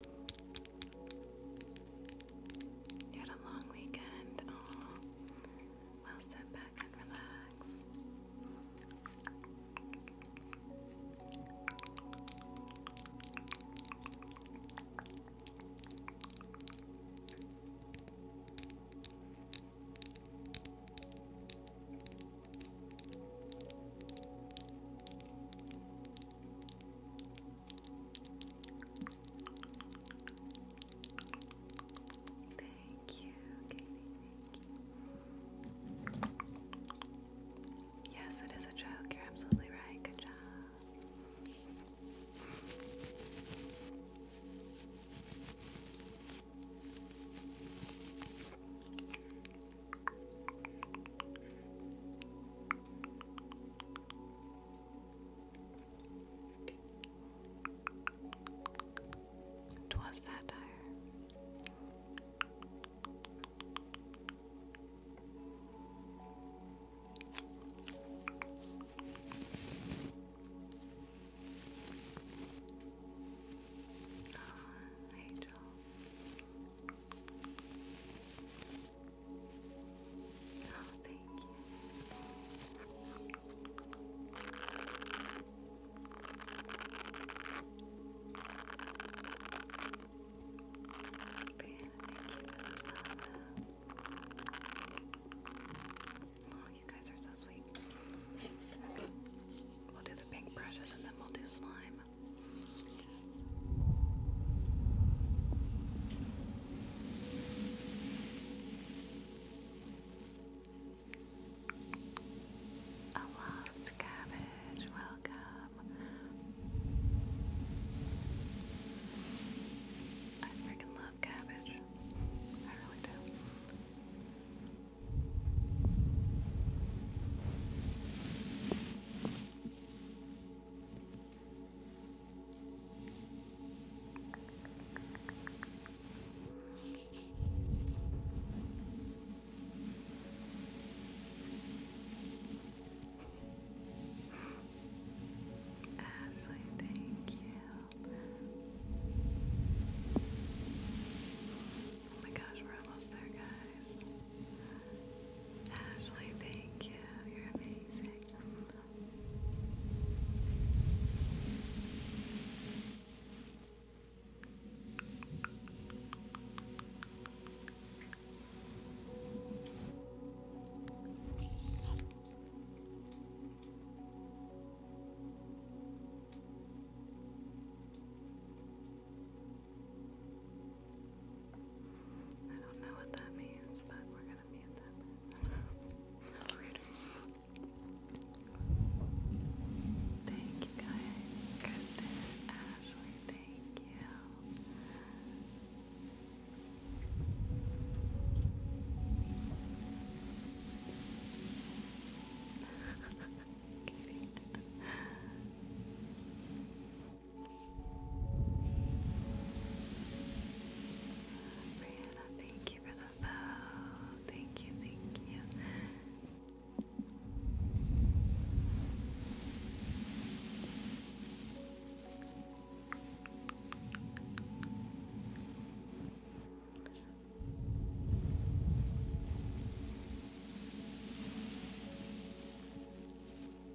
You had a long weekend. Oh, well, sit back and relax. Thank you, Yes, it is a joke. You're absolutely right. Good job. 'Twas satire. Oh, Oh, thank you. Oh, you guys are so sweet. We'll do the pink brushes and then we'll do slime. A lost cabbage, welcome. I freaking love cabbage. I really do. Ashley, thank you. Oh my gosh, we're almost there, guys. Ashley, thank you. You're amazing. I don't know what that means, but we're gonna mute that. Thank you guys, Kristen, Ashley. Thank you. Brianna, thank you for the bell. Thank you, thank you.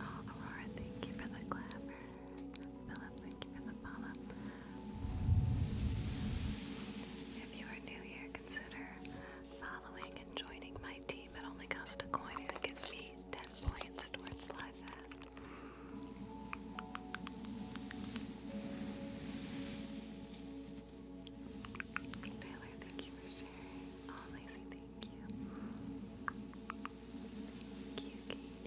Oh, thank you for the clapper. Philip, thank you for the follow. If you are new here, consider following and joining my team. It only costs a coin and it gives me 10 points towards live fast. thank you for sharing. Oh, Lacey, thank Thank you. Thank you, Katie.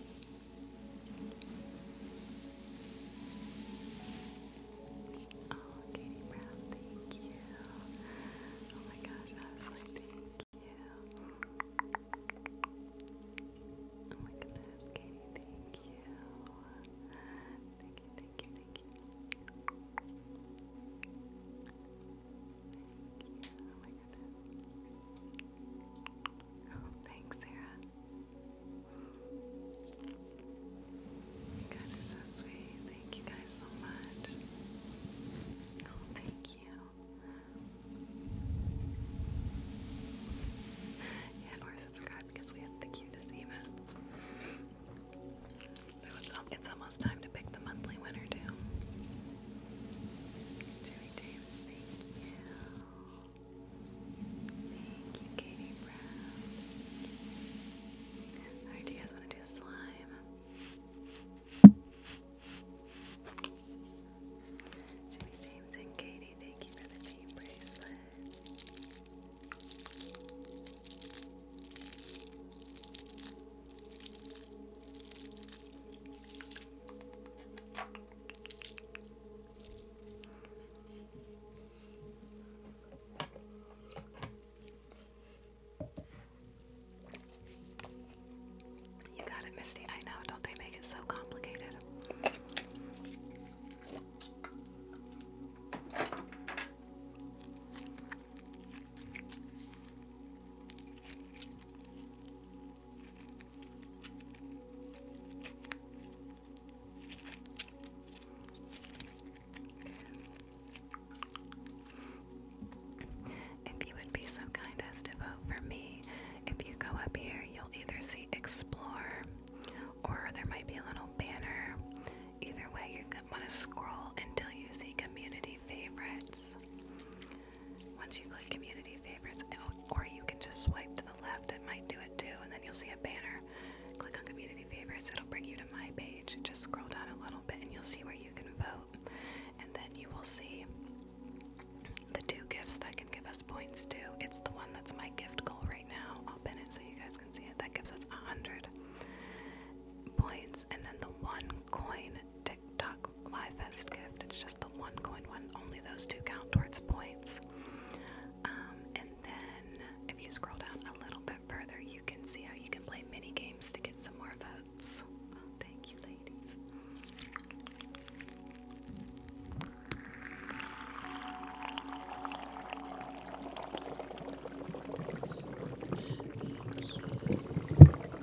Oh, Katie Brown, thank you. Oh my gosh, Ashley, thank you. Oh my goodness, Katie, Thank you, thank you, thank you. Thank you. Oh my Oh, thanks, Sarah. You guys are so sweet. Thank you guys so much. Oh, thank you. Yeah, or subscribe because we have the cutest events. So um, it's almost time to pick the monthly winner, too. James, thank you. Thank you, Katie Brown. do you guys want to do slime? James and Katie, thank you for the team bracelet. You got it, Misty. I know. Don't they make it so complicated? If you would be so kind as to vote for me, if you go up here, you'll either see explore or there might be a little banner. Either way, you're going to want to scroll until you see community favorites. Once you click community favorites, or you can just swipe to the left, it might do it too, and then you'll see a banner. Click on community favorites, it'll bring you to my page. Just scroll down a little bit and you'll see where you can vote. And then you will see the two gifts that can give us points too. It's the one that's my gift goal right now. I'll pin it so you guys can see it. That gives us a hundred points. And then the one coin TikTok Live Fest gift. It's just the one coin one. Only those two count towards points. Um, and then if you scroll down a little bit further, you can see how you can play mini games to get some more votes. thank you, ladies.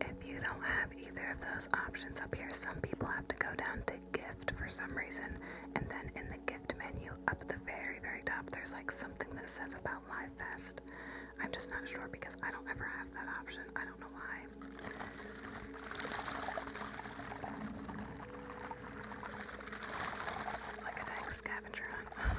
If you don't have either of those options up here, some people have to go down to gift for some reason, and then in the gift menu up at the very, very top, there's like something that says about Live Fest. I'm just not sure because I don't ever have that option. I don't know why. It's like a dang scavenger hunt.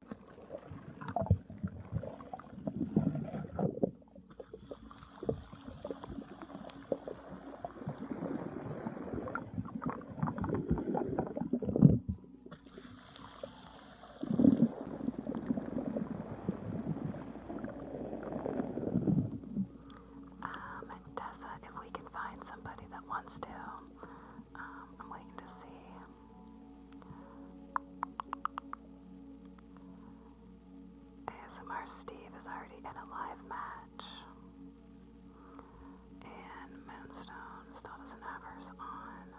Um, uh, Tessa, if we can find somebody that wants to, um, I'm waiting to see. ASMR Steve is already in a live match. And Moonstone still doesn't have hers on.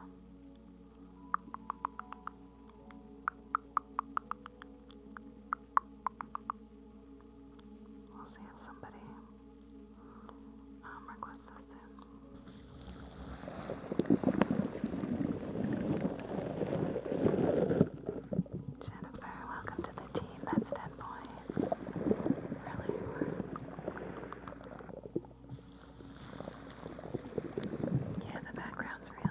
We'll see if somebody um, requests this soon. Jennifer, welcome to the team. That's 10 points. Really Yeah, the background's real.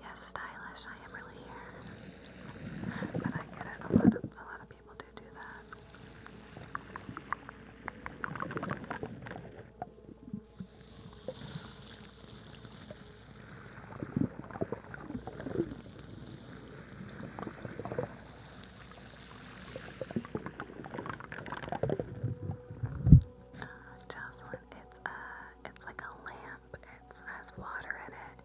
Yes, stylish, I am really here. But I get it, a lot of, a lot of people do do that. Uh, Jocelyn, it's a, uh, it's like a lamb. It has water in it,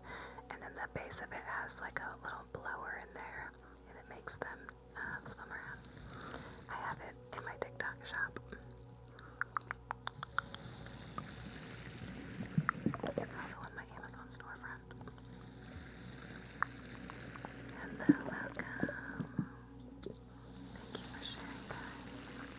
and then the base of it has like a little blower in there, and it makes them uh, swim around. I have it in my TikTok shop. It's also on my Amazon storefront. Hello, welcome. Thank you for sharing, guys.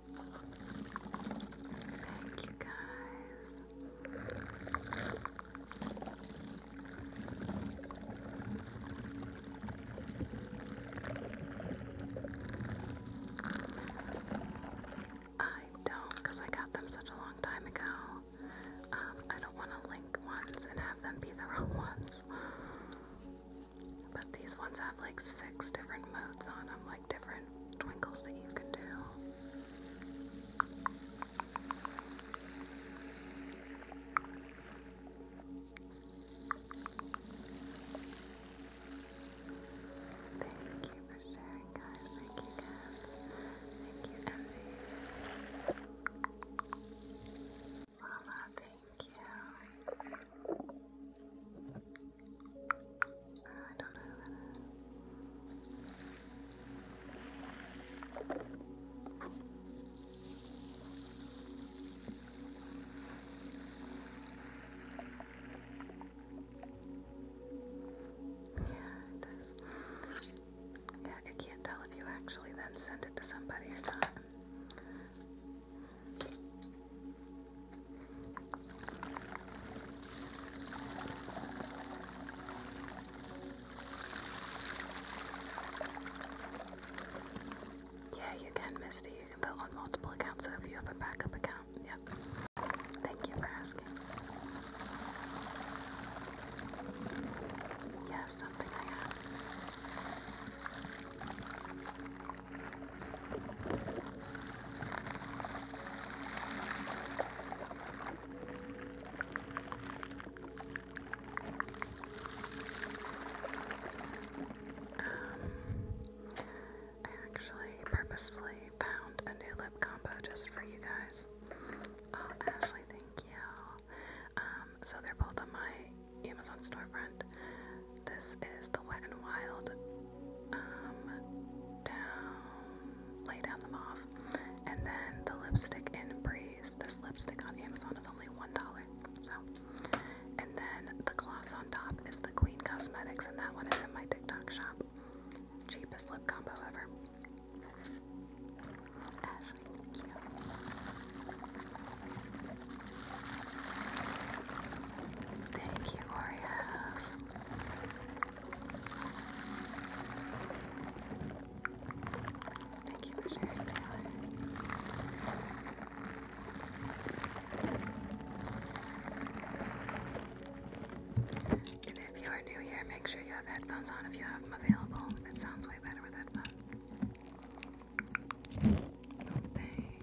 Thank you guys. I don't, because I got them such a long time ago. Um, I don't want to link ones and have them be the wrong ones. But these ones have like six different modes on them, different twinkles that you can do. Thank you for sharing, guys. Thank you, cats. Thank you, Envy. Mama, thank you. I Yeah, it does. Yeah, I can't tell if you actually then send it to somebody or not. Yeah, you can, Misty. You can put on multiple accounts, so if you have a backup account, yep. Thank you for asking. Yes, something I have. Um, I actually purposefully found a new lip combo just for you guys. Oh, Ashley, thank you. Um, so they're both on my Amazon storefront. This is the Wet and Wild. Um, down, lay down the mauve, and then the lipstick in Breeze. This lipstick on Amazon is only one dollar. So, and then the gloss on top is the Queen Cosmetics, and that one is in my TikTok shop. Cheapest lip combo ever. Ashley, thank you. Thank you, Oreos. Thank you for sharing, Taylor. And if you are new here, make sure you have headphones on if you have them available. It sounds way better with headphones. thanks.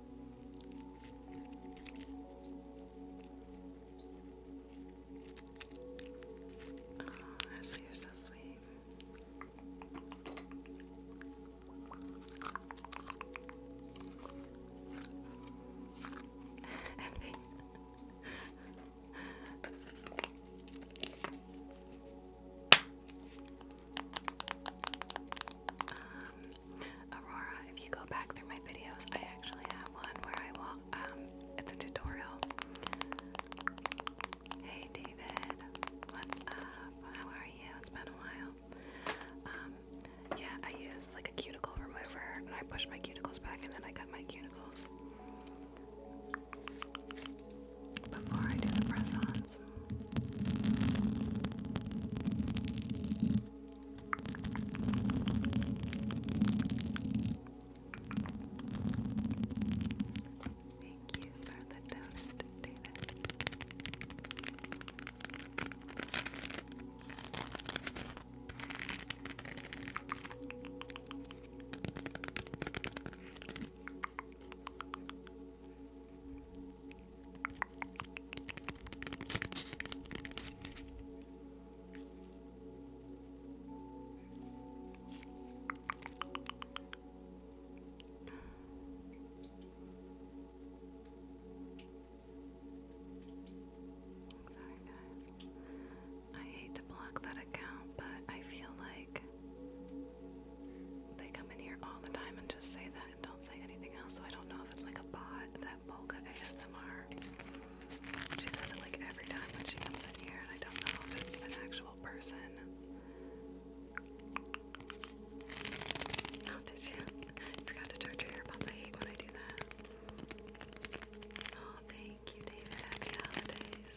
Oh, you're so sweet. um, Aurora, if you go back through my videos, I actually have one where I walk, um, it's a tutorial. Hey David, what's up? How are you? It's been a while. Um, yeah, I use like a cuticle remover and I push my cuticles back and then I cut my cuticles. Before I do the press-ons this. Thank you for the donut, David. Sorry, guys. I hate to block that account, but I feel like they come in here all the time and just say that and don't say anything else. So I don't know if it's like a bot that Polka ASMR. She says it like every time when she comes in here, and I don't know if it's an actual person. Oh, forgot to charge your earbuds. I hate when I do that. Oh, thank you, David. Happy holidays.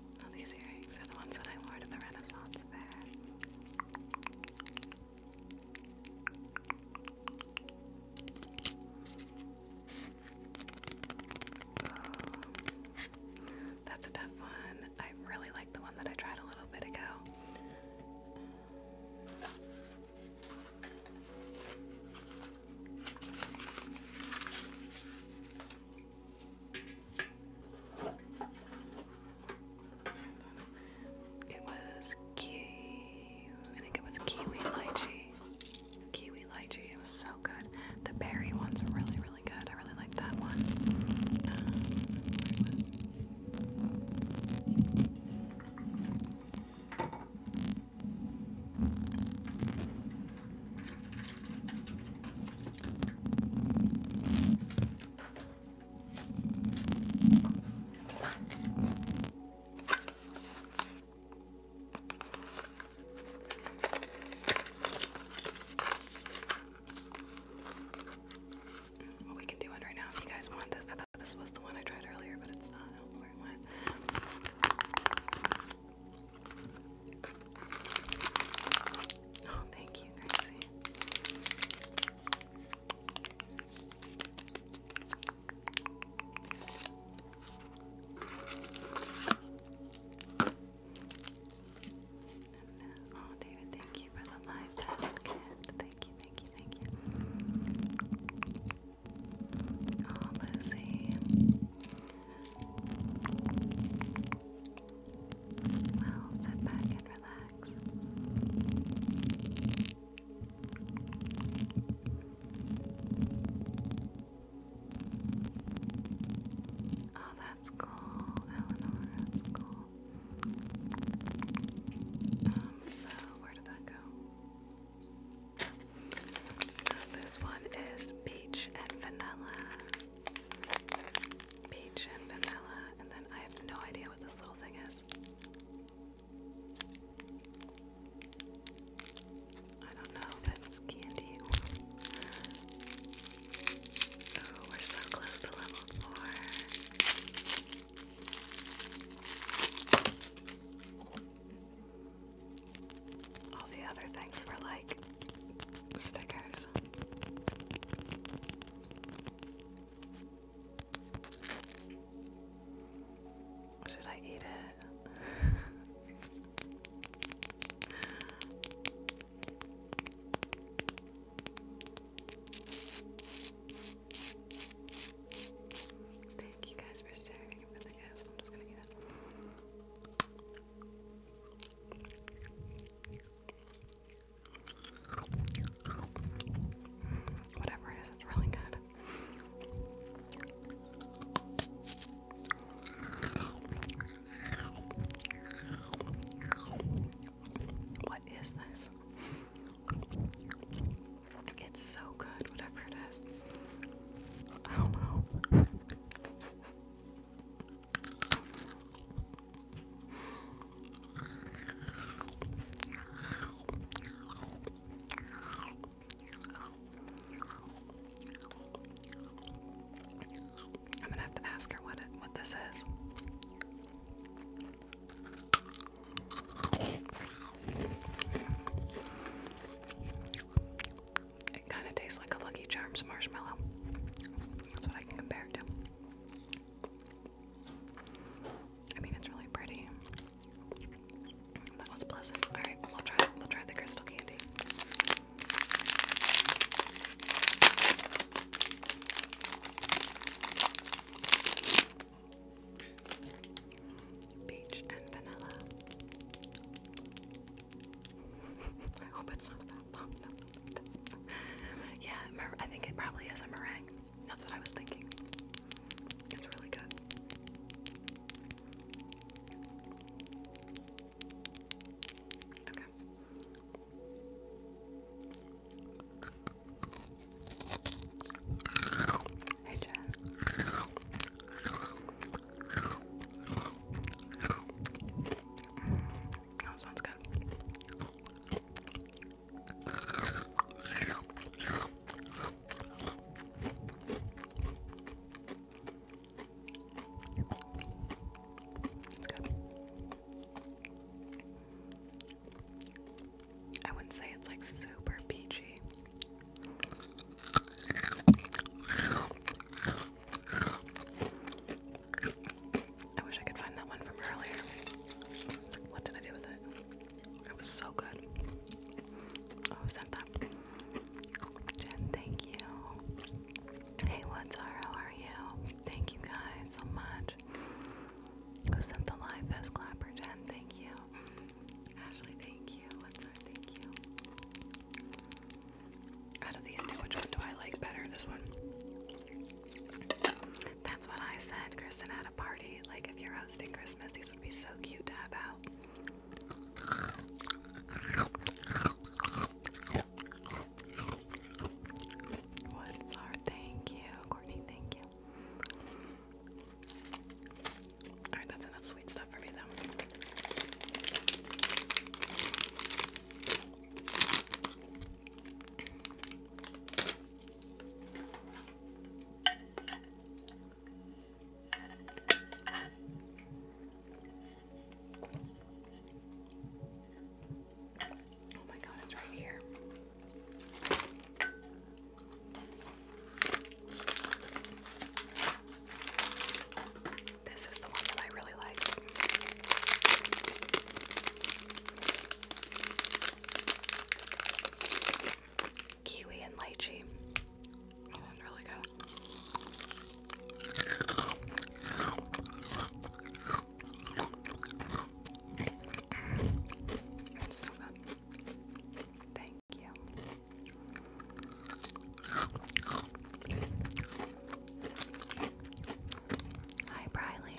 Oh, these earrings are the ones that I wore to the Renaissance fair. Oh, that's a tough one. I really like the one that I tried a little bit ago. It was kiwi. I think it was kiwi lychee. Kiwi lychee. It was so good. The berry ones were really, really good. I really liked that one we can do one right now if you guys want this. I thought this was the one I tried earlier, but it's not. Oh, thank you, Gracie. oh, David, thank you for the live Thank you, thank you, thank you. Oh, Lucy. Well, sit back and relax. Oh, that's cool, Eleanor. That's cool. Um, so where did that go? So this one is peach and vanilla peach and vanilla, and then I have no idea what this little thing is. I don't know if it's candy Oh, we're so close to level four. All the other things were like stickers. Should I eat it? Thank you guys for sharing it with the I'm just gonna eat it. Whatever it is, it's really good. What is this? It's so good, whatever it is. I don't know. I'm gonna have to ask her what it what this is. It kind of tastes like a Lucky Charms marshmallow. That's what I can compare it to. I mean, it's really pretty. That was pleasant. All right, we'll try. We'll try the crystal candy. Peach and vanilla. I hope it's not yeah, I think it probably is a meringue. That's what I was thinking. It's really good. Okay. Hey, Jen. Mm, that sounds good. I wouldn't say it's like super peachy. I wish I could find that one from earlier. What did I do with it? It was so good. Oh, who sent that? Jen, thank you. Hey, what's up? How are you? Thank you guys so much. Who sent the live best clapper? Jen, thank you. Mm, Ashley, thank you. What's up? Thank you. Out of these two, which one do I like better? This one. That's what I said, Kristen, at a party. Like, if you're hosting Christmas, these would be so cute to have out. What's our thank you, Courtney? Thank you. Alright, that's enough sweet stuff for me, though. Oh my god, it's right here. This is the one that I really like. Kiwi and lychee. Oh, really good. so good. Thank you. Hi, Briley.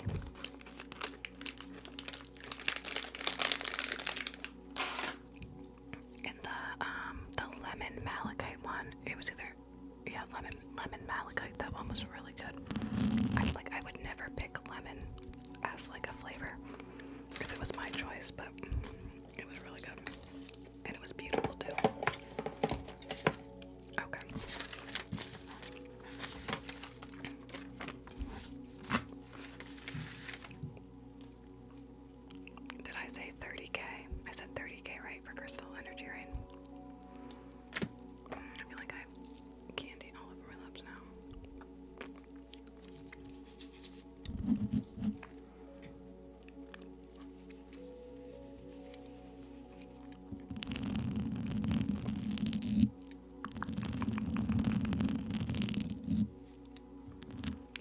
And the um the lemon malachite one, it was either yeah, lemon lemon malachite, that one was really good. I am like I would never pick lemon as like a flavor if it was my choice, but it was really good. And it was beautiful too. Okay. Did I say 30k? I said 30k, right, for Crystal Energy right? I feel like I have candy all over my lips now.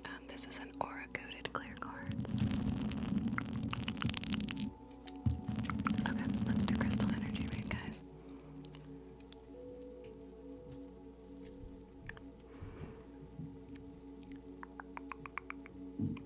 Um, this is an aura coated clear cards. Okay, let's do crystal energy read, guys. Okay.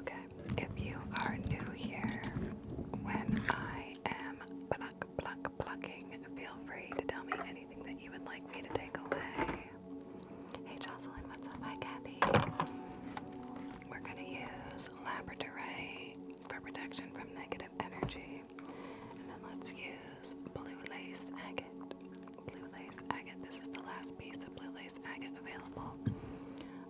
Okay, if you are new here, when I am pluck, pluck, plucking, feel free to tell me anything that you would like me to take away. Hey Jocelyn, what's up? Hi Kathy. We're going to use Labradorite for protection from negative energy. And then let's use Blue Lace Agate blue lace agate. This is the last piece of blue lace agate available.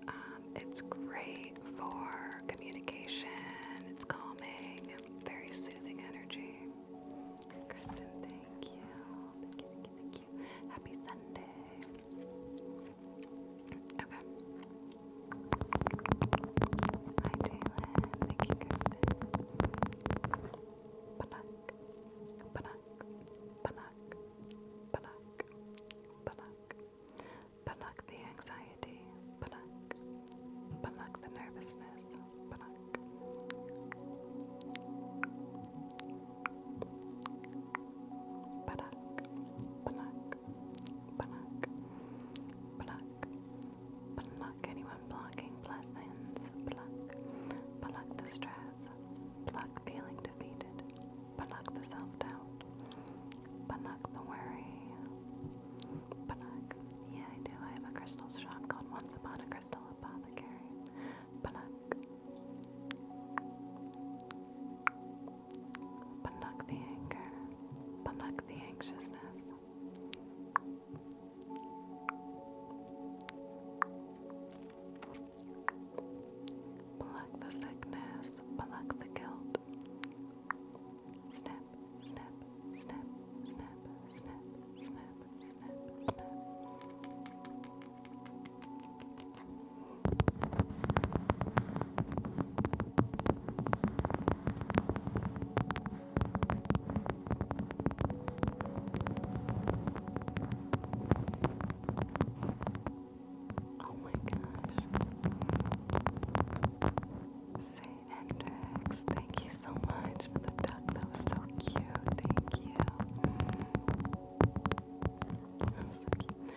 Um, it's great for communication, it's calming, very soothing energy. Kristen, thank you. Thank you, thank you, Happy Sunday. Okay. Hi, Jalen. Thank you, Kristen. Panak, panak, panak, panak, panak, panak the anxiety, panak, panak the nervousness, panak. Panak, panak, panak, panak, panak anyone blocking blessings, panak, panak the stress, Pluck feeling defeated. Pluck the self doubt. Pluck the worry. Pluck. Yeah, I do. I have a crystal shop called Once Upon a Crystal Apothecary. Pluck. Pluck the anger. Pluck the anxiousness. Pluck the sickness, pluck the guilt. Snip, snip, snip, snip, snip, snip, snip, snip. Oh my gosh. Say Hendrix, thank you so much for the duck. That was so cute. Thank you. That was so cute.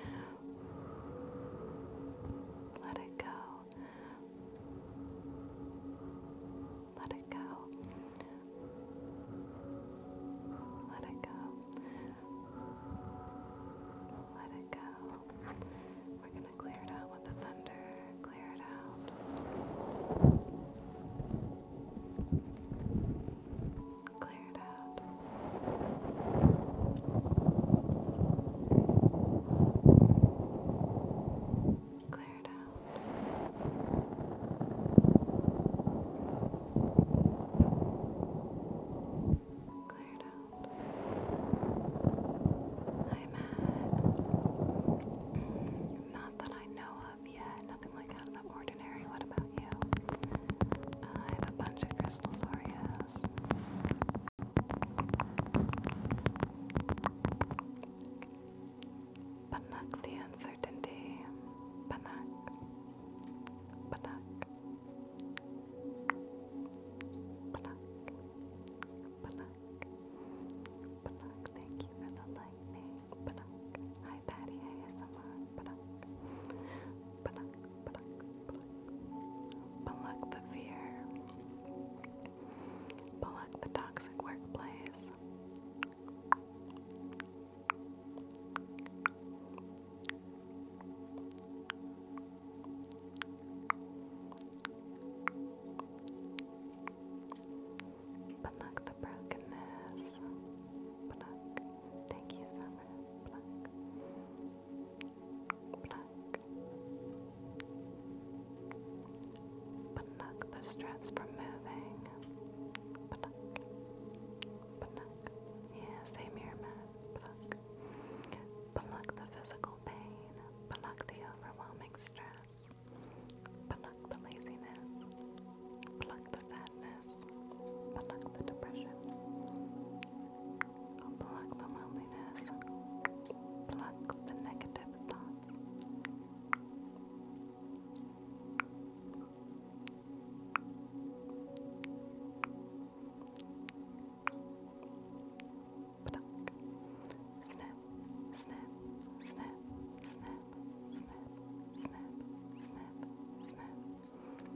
Let it go. Let it go. Let it go. Let it go. We're going to clear it out with the thunder. Clear it out. Clear it out. Clear it out. Cleared out. I'm at not that I know of yet, nothing like out of the ordinary. What about you? I have a bunch of crystal aureas. Banach the uncertainty. Banach. Banach. Banach. Banach. Banach. Thank you for the lightning. Banach. Hi Patty ASMR. Banach. Banach. Banach. Banach. Banach the fear. Banach the toxic workplace. Pluck the brokenness. Pluck. Thank you, Summer. Pluck. Pluck. Pluck the stress from moving. Yeah, same here, Matt. Pluck. Pluck the physical pain. Pluck the overwhelming stress. Pluck the laziness. Pluck the sadness. Pluck the depression. Pluck the loneliness. Pluck the negative thoughts. Pluck. Snap, snap, snap, snap, snap, snap, snap, snap. Pluck.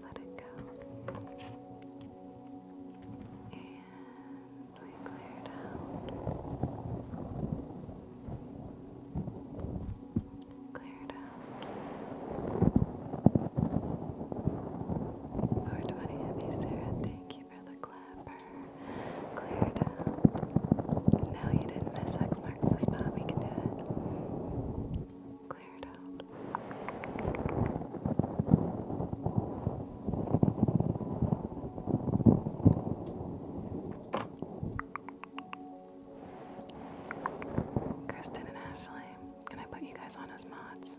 Let it go. And we cleared out. Cleared out. 420 Heavy Sarah, thank you for the clapper. Cleared out. No, you didn't miss X marks the spot. We can do it. Kristen and Ashley, can I put you guys on as mods.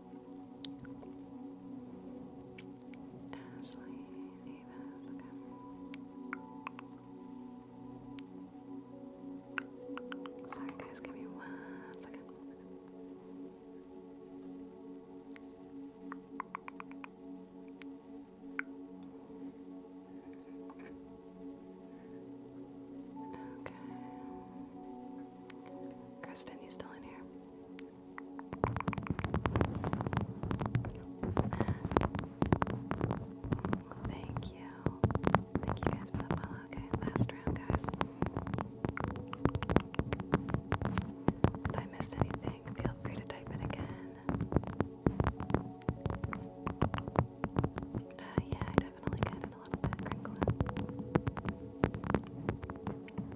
Ashley Davis, okay. Sorry guys, give me one second. Okay. Kristen, you still in here? Thank you. Thank you guys for Okay, last round, guys. If I missed anything, feel free to type it again. Uh, yeah, I definitely got it a little bit crinkly.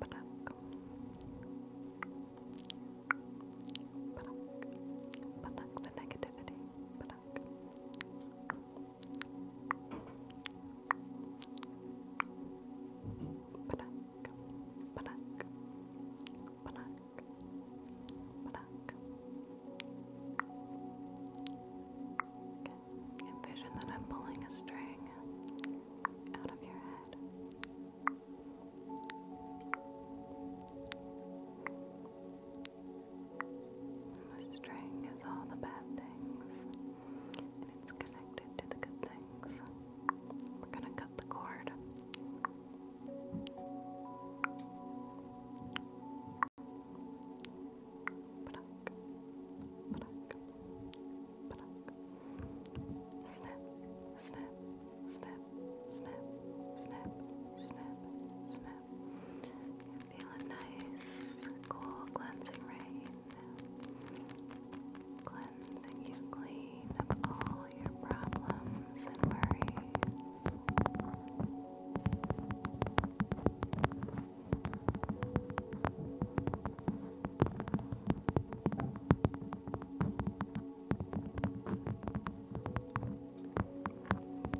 pluck, pluck, pluck the negativity, pluck. Pluck, pluck, pluck, Envision that I'm pulling a string out of your head. the string is all the bad things, and it's connected to the good things. We're going to cut the cord pluck, Snap, snap, snap, snap, snap, snap, snap. feel a nice, cool cleansing rain. Cleansing you clean of all your problems and worries.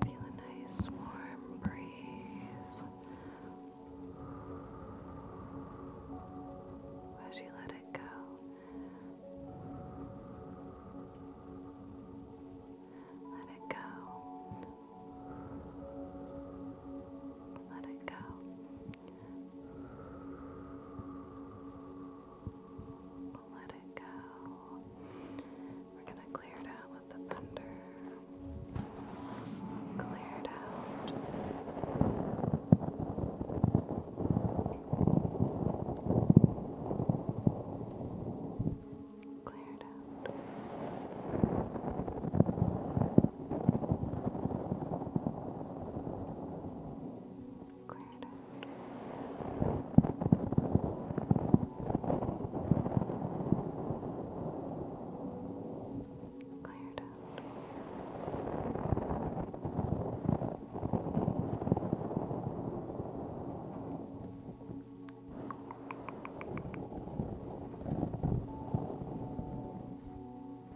Feel a nice warm breeze as you let it go. Let it go. Let it go. Let it go. We're going to clear it out with the thunder. Clear it out. Clear it out. Clear out. Clear out. Cleared out. Let's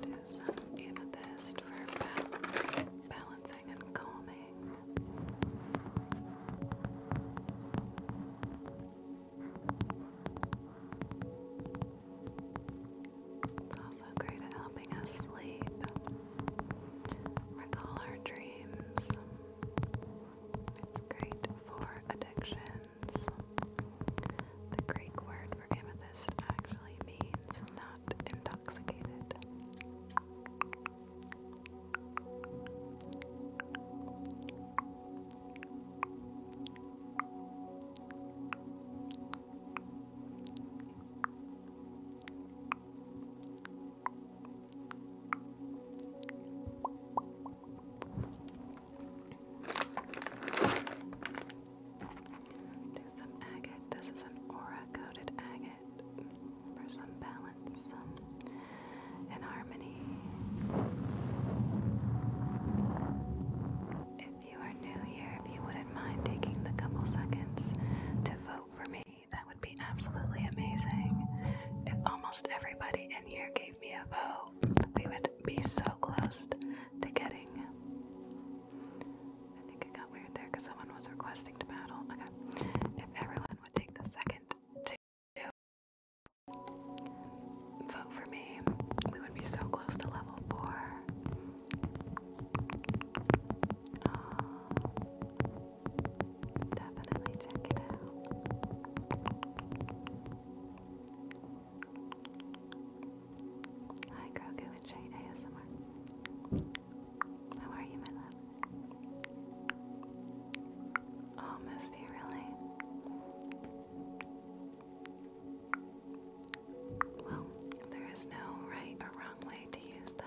do some amethyst for bal balancing and calming. It's also great at helping us sleep, recall our dreams. It's great for addictions. The Greek word for amethyst actually means not intoxicated. Do some agate. This is an aura coated agate for some balance, some harmony. If you are new here, if you wouldn't mind taking the couple seconds to vote for me, that would be absolutely amazing. If almost everybody in here gave me a vote, we would be so close to getting. I think it got weird there because someone was requesting to battle. If everyone would take the second to vote for me, we would be so close to level four. Uh, definitely check it out. Hi, Grogu and Jade ASMR. How are you, my love? Oh, Misty, really? Well, there is no right or wrong way to use them.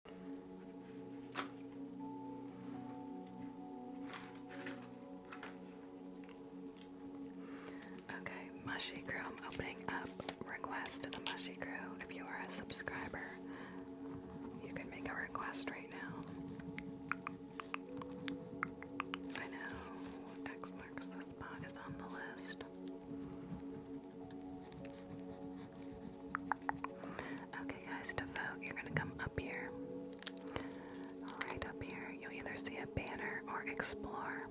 Okay, Mushy Crew, I'm opening up request to the Mushy Crew. If you are a subscriber, you can make a request right now. I know X marks the spot is on the list. Okay, guys, to vote, you're gonna come up here. Right up here, you'll either see a banner or explore.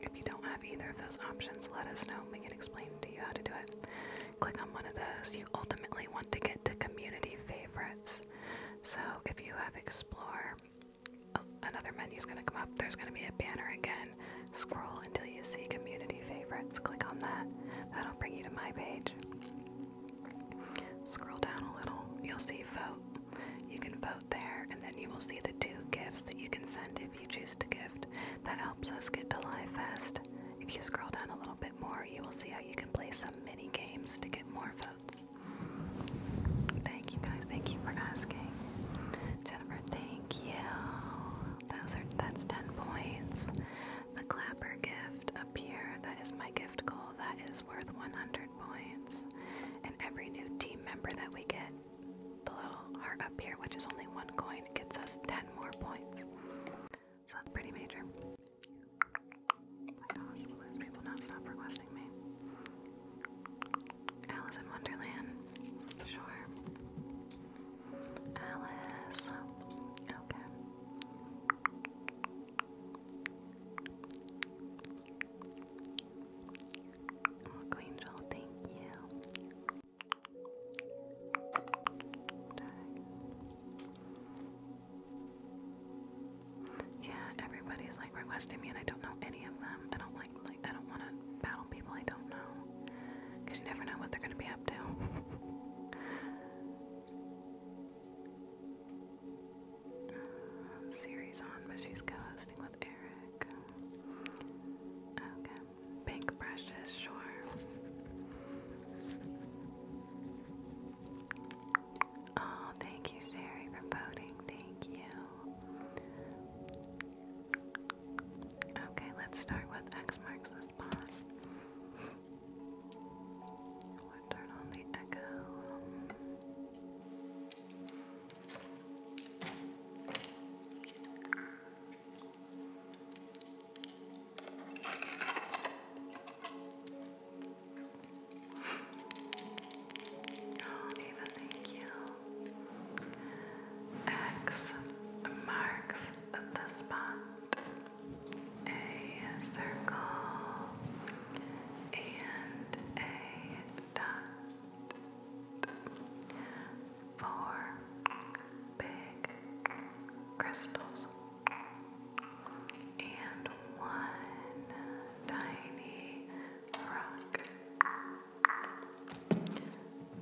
If you don't have either of those options, let us know. We can explain to you how to do it. Click on one of those. You ultimately want to get to community favorites. So if you have explore, uh, another menu's gonna come up. There's gonna be a banner again. Scroll until you see community favorites. Click on that. That'll bring you to my page. Scroll down a little, you'll see vote. You can vote there, and then you will see the two gifts that you can send if you choose to gift. That helps us get to Live Fest. If you scroll down a little bit more, you will see how you can play some mini games to get more votes. Thank you guys. Thank you for asking. Jennifer, thank you. Those are that's ten points. The clapper gift up here, that is my gift goal, that is worth 100 points. And every new team member that we get, the little heart up here, which is only one coin, gets us 10 more points. So that's pretty major. my gosh, will those people not stop requesting me? Alice in Wonderland? Sure. Alice. Okay. Oh, thank you. Yeah, everybody's like requesting me, and I don't know any of them. I don't like, like, I don't want to battle people I don't know, you never know what they're gonna be up to. series on, but she's co-hosting with Eric. Okay, pink brushes, sure. Oh, thank you, Sherry, for voting. Thank you. Okay, let's start with X marks the spot. I'll turn on the echo. Oh, Eva, thank you. X marks the spot a circle, and a dot. Four big crystals and one tiny rock.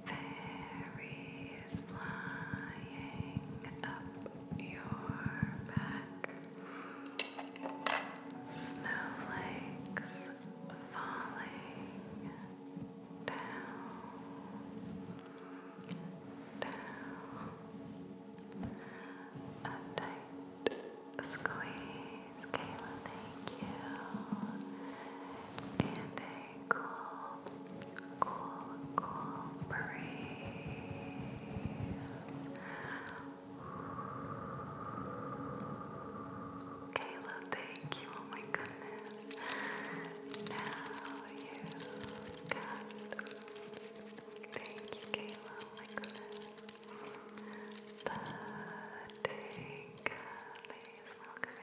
Very is flying up your back. Snowflakes falling down, down. tight squeeze, Kayla, thank you. And a cool cool, cool breeze. Kayla, thank you. Oh my goodness. Now you got. Thank you, Kayla. Oh my goodness. The day, Welcome, Eric.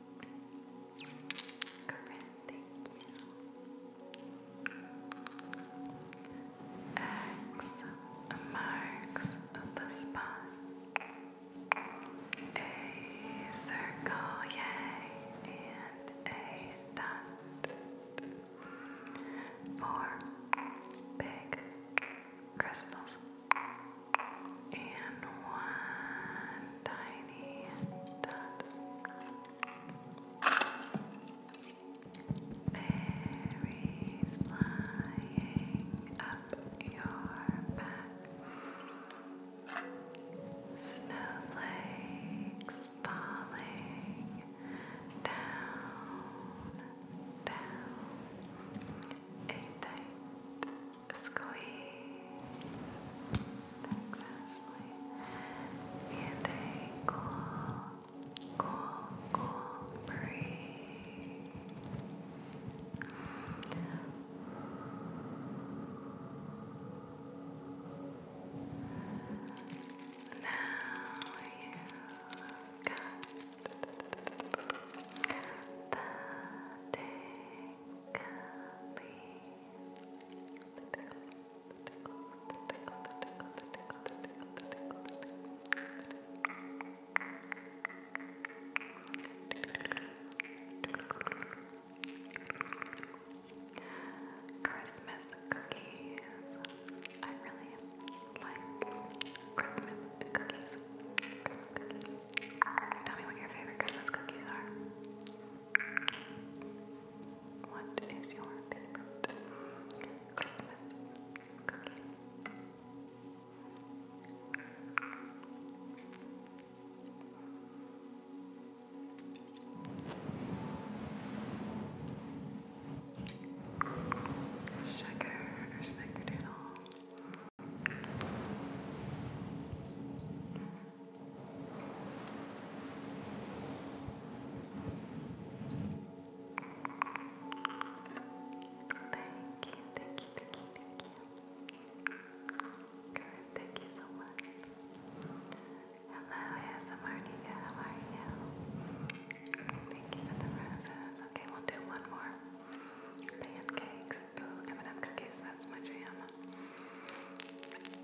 thank you. X marks the spot. A circle, yay, and a dot. Four big crystals and one tiny dot. Berries flying up your back, snowflakes falling down, down a tight squeeze. Thanks, And a cool, cool, cool breeze. Now you got the tickly Christmas cookies. I really like Christmas cookies. Tell me what your favorite Christmas cookies are. What is your favorite Christmas cookie? Sugar or snickerdoodle? Thank you, thank you, thank you, thank you. thank you so much. Hello, Asamarnika, how are you? Thank you for the roses. Okay, we'll do one more. Pancakes. Ooh, M&M cookies, that's my jam. Thanks, Ariana. Thank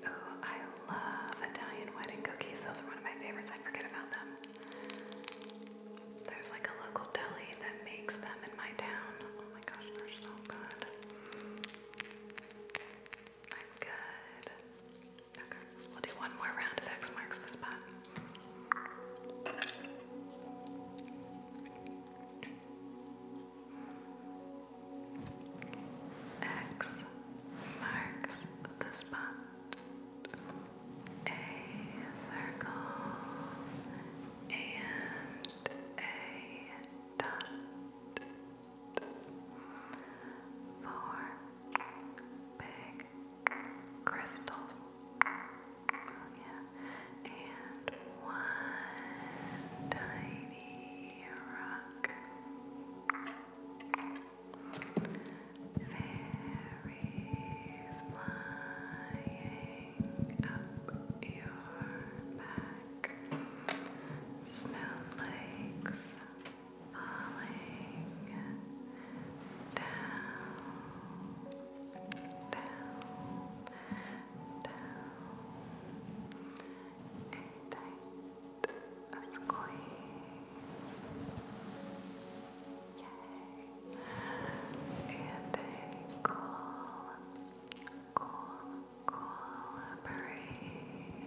you. Oh, I love Italian wedding cookies. Those are one of my favorites. I forget about them. There's like a local deli that makes them in my town. Oh my gosh, they're so good. I'm good. Okay, we'll do one more round of X marks the spot. X marks the spot. A circle and a dot four big crystals. and one tiny rock. Fairies flying up your back. Snowflakes falling down, down, down, a a squeeze, and a cool, cool, cool breeze.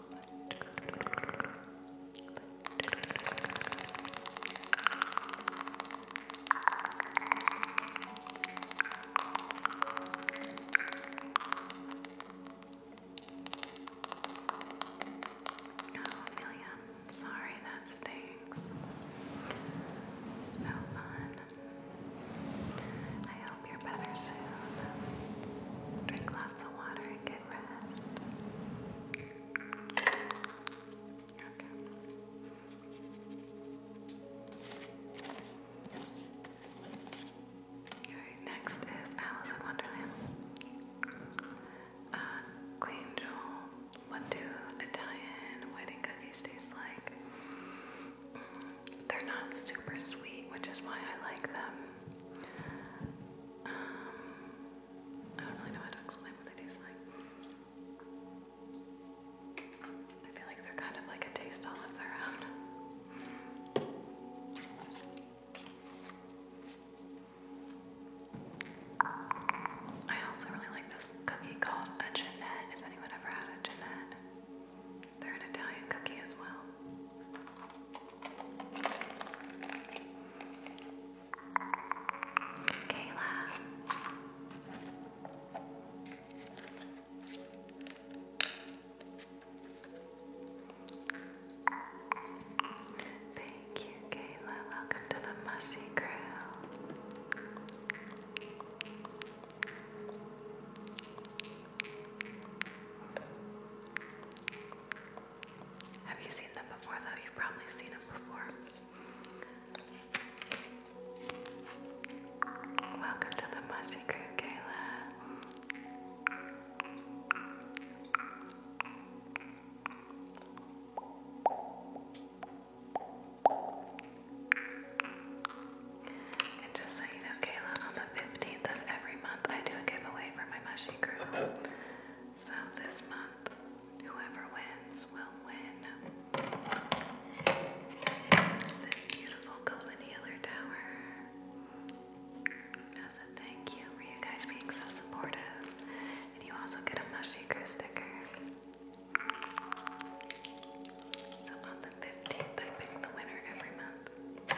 Amelia, i sorry that stinks. It's no fun. I hope you're better soon. Drink lots of water again next is Alice in Wonderland. Uh, Queen Joel, what do Italian wedding cookies taste like? they're not super sweet, which is why I like them. Um, I don't really know how to explain what they taste like. I feel like they're kind of like a taste all of their own. I also really like this cookie called a Jeanette. Has anyone ever had a Jeanette? They're an Italian cookie as well. Kayla. Thank you, Kayla. Welcome to the Mushy Crew. Have you seen them before, though? You've probably seen them before. Welcome to the Mushy Crew, Kayla. And just so you know, Kayla, on the 15th of every month, I do a giveaway for my Mushy so this month, whoever wins will win this beautiful golden healer tower. As a thank you for you guys being so supportive. And you also get a Mushaker sticker. So on the 15th, I pick the winner every month.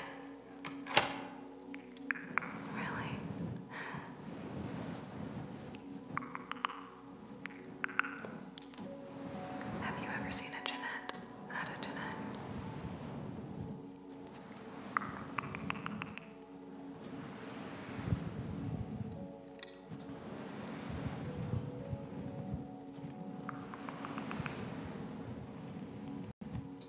Really? Have you ever seen a Jeanette? Not a Jeanette. Hi, I'm good. How are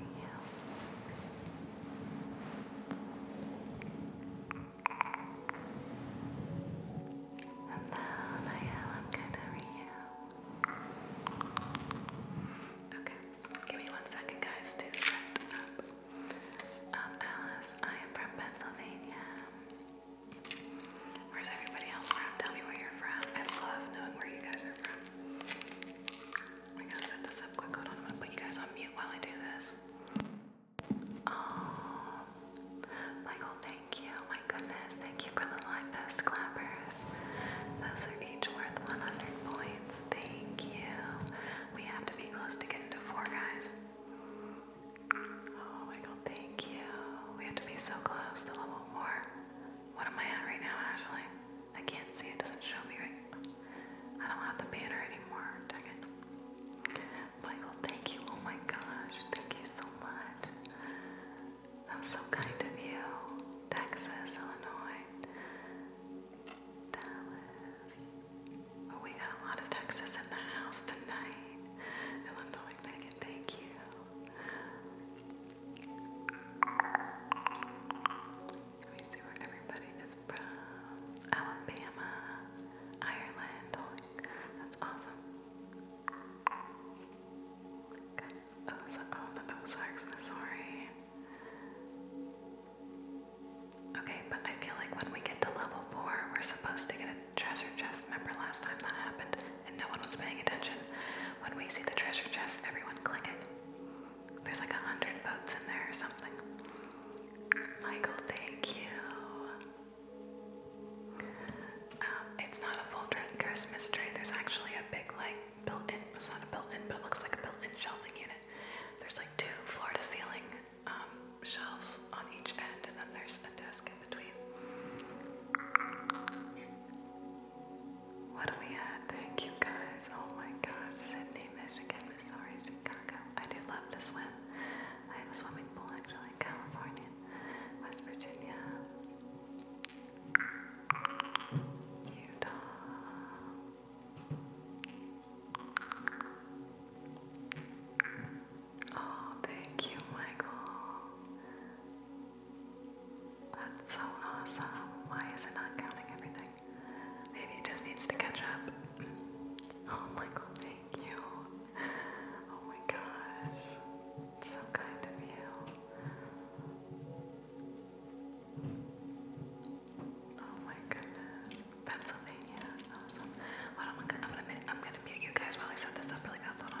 you? Hello, Naya. I'm good. How are you? Okay, give me one second, guys, to set up. Um, Alice, I am from Pennsylvania. Where's everybody else from? Tell me where you're from. I love knowing where you guys are from. I gotta set this up quick. Hold on, I'm gonna put you guys on mute while I do this. Oh, Michael, thank you my goodness, thank you for the live best clappers. Those are each worth 100 points. Thank you. We have to be close to getting to four, guys. Oh my thank you. We have to be so close to level four. What am I at right now, Ashley? I can't see, it doesn't show me right I don't have the banner anymore, dang Michael, thank you. Oh my gosh, thank you so much. That was so kind of you. Texas, Illinois, Dallas. we got a lot of Texas in the house tonight. Illinois, Megan, thank you. Let me see where everybody is from. Alabama, Ireland. That's awesome oh, the Ozarks, Missouri. Okay, but I feel like when we get to level four, we're supposed to get a treasure chest. Remember last time that happened and no one was paying attention? When we see the treasure chest, everyone click it. There's like a hundred votes in there or something. Michael, thank you. Um, it's not a full Christmas tree. There's actually a big like built-in, it's not a built-in, but it looks like a built-in shelving unit. There's like two floor-to-ceiling um, shelves on each end, and then there's a desk in between. What do we add? Thank you guys. Oh my gosh, Sydney, Michigan, Missouri, Chicago. I do love to swim. I have a swimming pool actually in California, West Virginia. Utah. Oh, thank you, Michael. That's so awesome. Why is it not counting everything? Maybe it just needs to catch up. Oh, Michael, thank you. Oh my gosh. So kind of you. Oh my goodness, Pennsylvania, awesome. I'm gonna, I'm gonna, I'm gonna mute you guys while I set this up really fast. Hold on.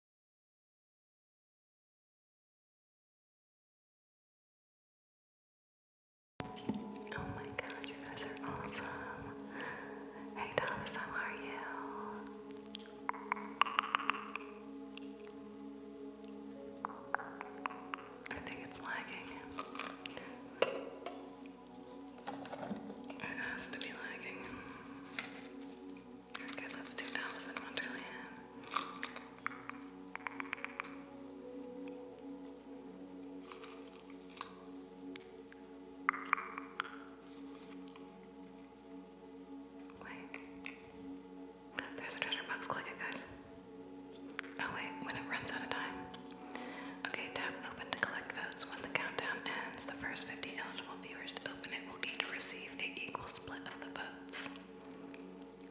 Oh my god, you guys are awesome. Hey Thomas, how are you? I think it's lagging. It has to be lagging. Okay, let's do Alice in Wonderland. Wait. There's a treasure box. Click it, guys. Oh, wait. When it runs out of time. Okay, tap open to collect votes. When the countdown ends, the first 50 eligible viewers to open it will each receive a equal split of the votes.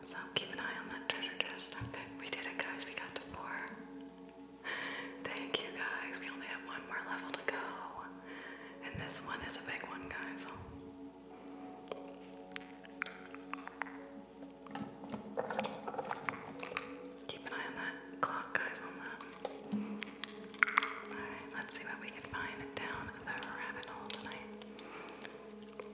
So keep an eye on that treasure chest. we did it, guys. We got to four. Thank you, guys. We only have one more level to go. And this one is a big one, guys. Keep an eye on that clock, guys, on that. Alright, let's see what we can find down the rabbit hole tonight.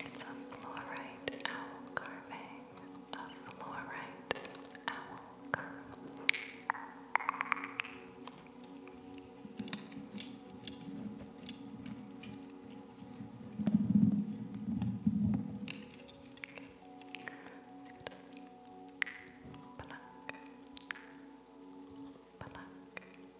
It's a fluorite owl carving. A fluorite owl carving.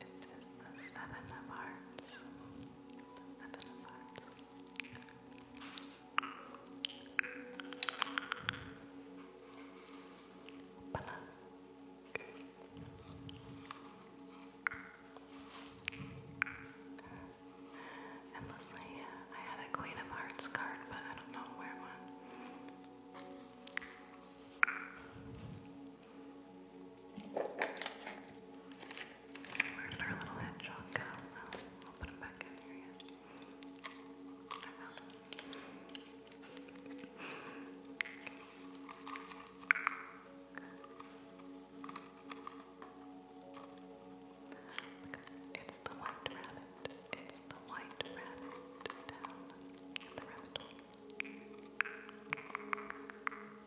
It is the seven of hearts. Seven of hearts. Good. Endlessly, yeah. I had a Queen of Hearts card, but I don't know where one. Where did our little hedgehog go? Oh, will put him back in. Here he It's the white rabbit. It's the white rabbit down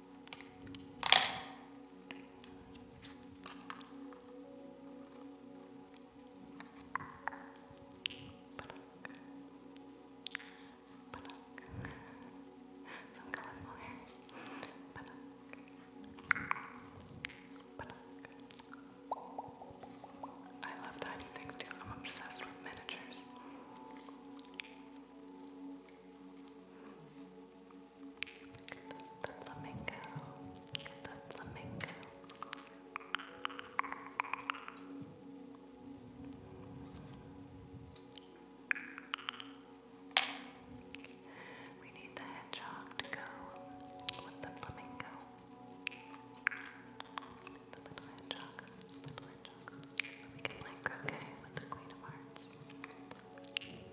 Some colorful I love tiny things too. I'm obsessed with miniatures. The flamingo. The flamingo. We need the hedgehog to go with the flamingo. The little hedgehog. Little hedgehog. We can play croquet with the Queen of Hearts.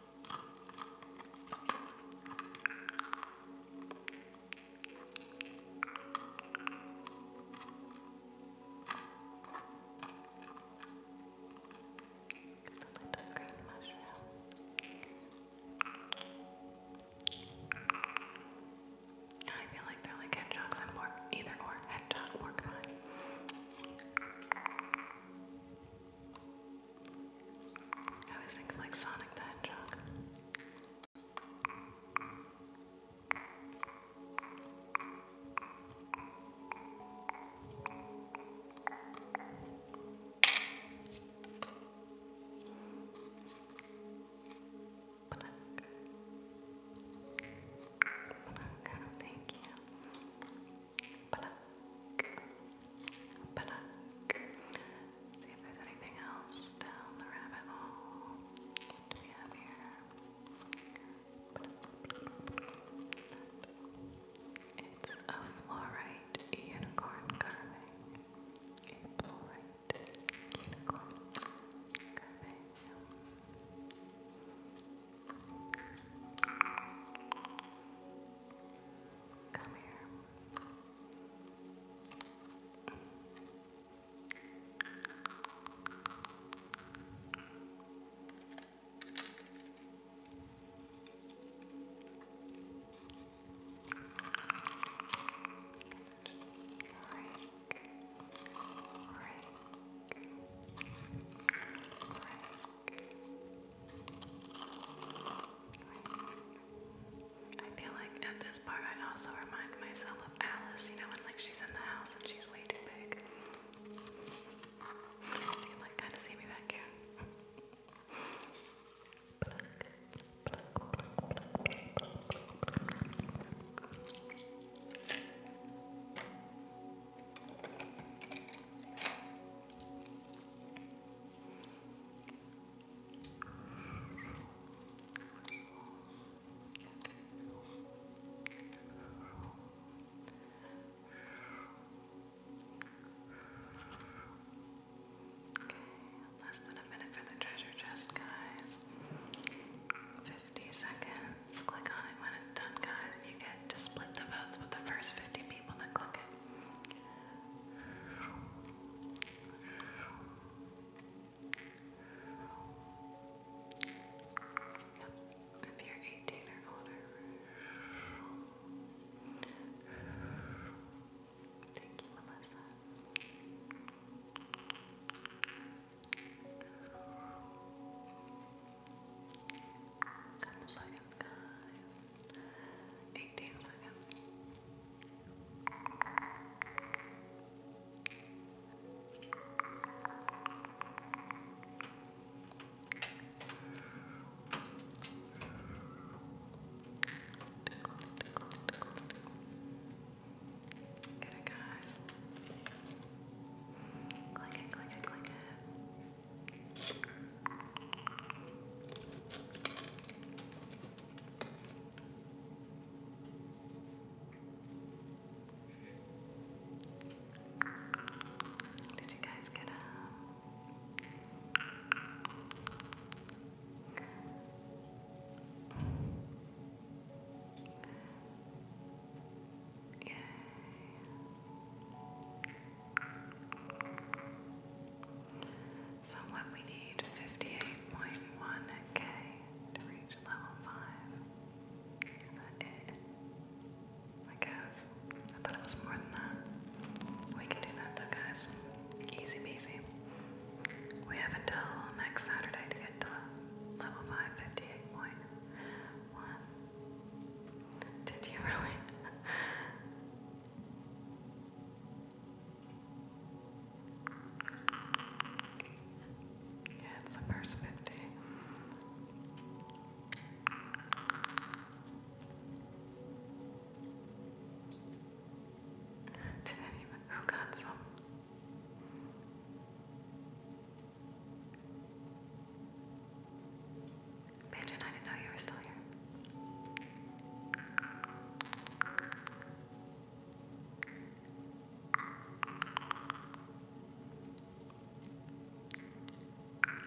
little green mushroom. I feel like they're like hedgehogs and either or hedgehog or fun. I was thinking like Sonic the Hedgehog. Black. Black. Thank you. Pluck. Pluck. See if there's anything else down the rabbit hole. What here? It's a fluorite unicorn carving. A fluorite unicorn carving. Come here. Break. Break. Break. I feel like at this part I also remind myself of Alice, you know, when like she's in the house and she's way too big. You can like kinda see me back here less than a minute for the treasure chest, guys. 50 seconds. Click on it when it's done, guys, you get to split the votes with the first 50 people. If you're 18 or older. Thank you, Melissa. Come second, guys. 18 seconds. Get it, guys. Click it, click it, click it. Did you guys get up? Yay. So what we need 58.1k to reach level 5. I guess. I thought it was more than that. We can do that though, guys. Easy peasy. We have until next Saturday to get to level 5, 58.1. Did you really? Yeah, it's the first 50. Did anyone, who got some? Pigeon, I didn't know you were still here.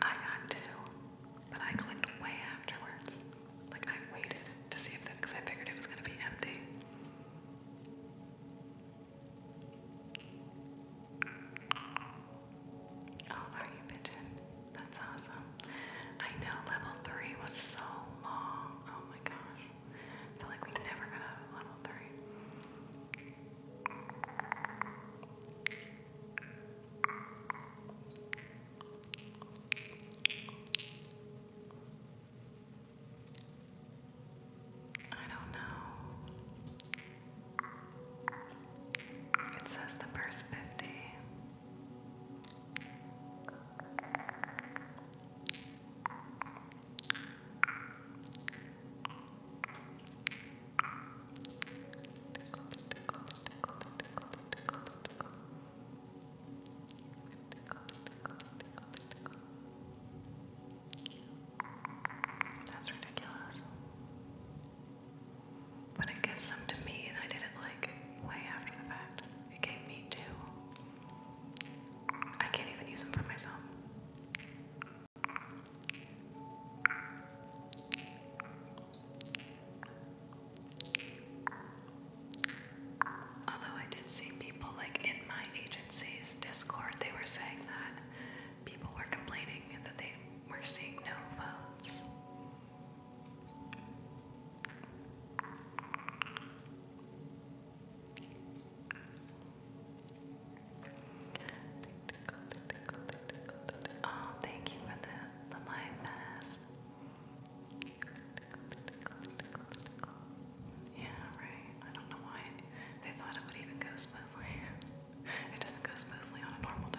I got two, but I clicked way afterwards. Like I waited to see if because I figured it was gonna be empty. Oh, are you pigeon? That's awesome. I know level three was so long. Oh my gosh. I like we never got level three. I don't know. It says the first 50. That's ridiculous. But it gave some to me, and I did it like way after the fact. It gave me two. I can't even use them for myself. Although I did see people like in my agency's Discord, they were saying that people were complaining that they were seeing no votes. Oh, thank you for the the live mask. Yeah, right. I don't know why they thought it would even go smoothly. it doesn't go smoothly on a normal day.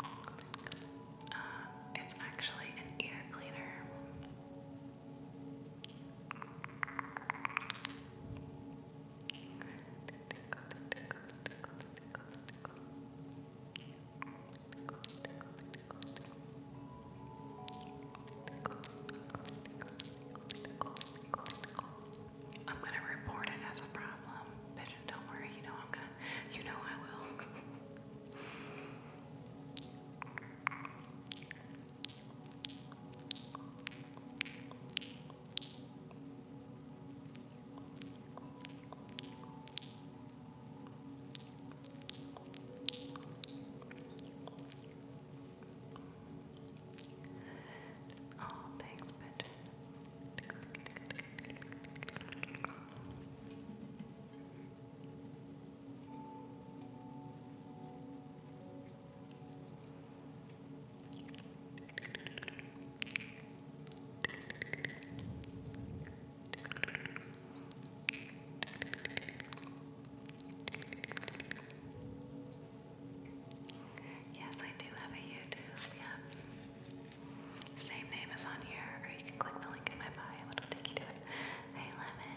Uh, it's actually an ear cleaner. I'm gonna report it as a problem, bitch. Don't worry, you know I'm gonna, you know I will. Oh, thanks, bitch. Yes, I do have a YouTube, yeah. Same name is on here, or you can click the link in my bio, it'll Hey, Lemon!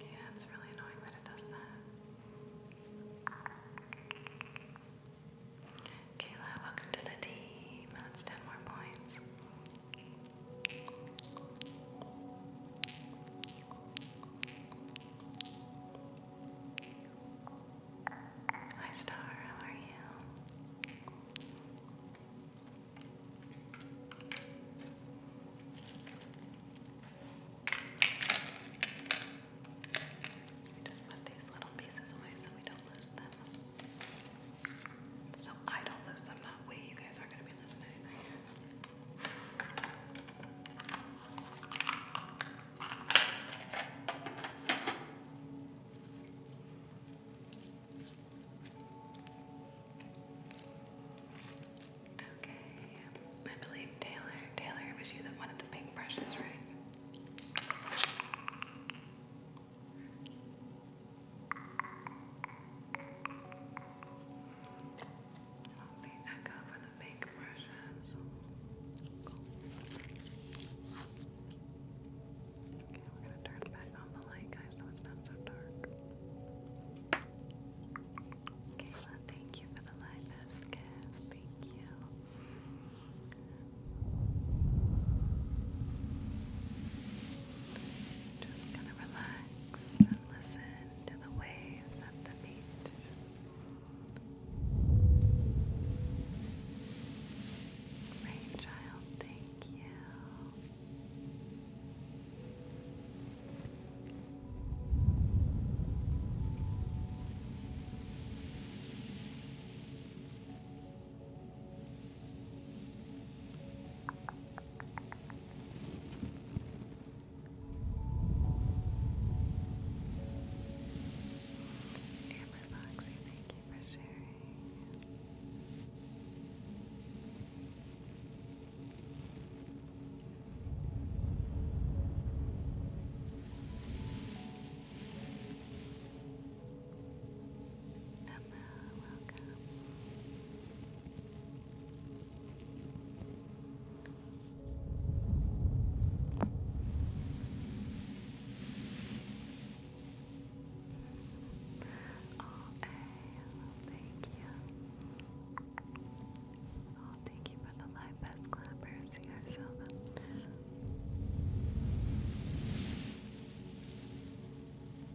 Yeah, it's really annoying that it does that. Kayla, welcome to the team. That's 10 more points. Hi, Star. How are you? We just put these little pieces away so we don't lose them. So I don't lose them way you guys aren't gonna be listening to Okay, I believe Taylor. Taylor, it was you that wanted the pink brushes, right? The echo for the big brushes. Okay, we're gonna turn back on the light, guys, so it's not so dark. Kayla, thank you for the live best Thank you. Just gonna relax and listen to the waves at the beach. Rainchild, thank you. Amber Foxy, thank you for sharing. Hello, welcome. Oh, thank you. Oh, thank you for the live best clappers. You guys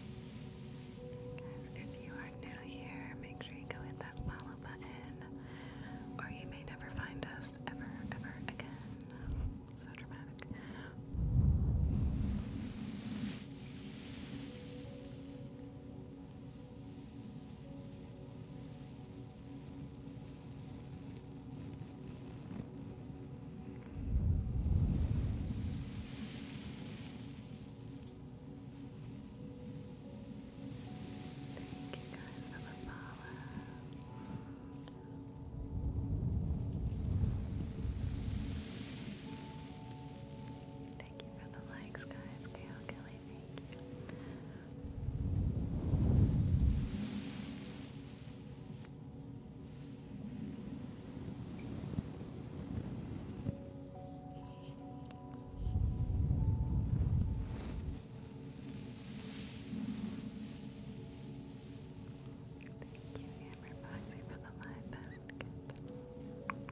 Guys, if you are new here, make sure you hit that follow button, or you may never find us ever, ever again. So dramatic. Thank you for the likes, guys. Gail Kelly, thank you. Thank you, Amber for the live basket. Thank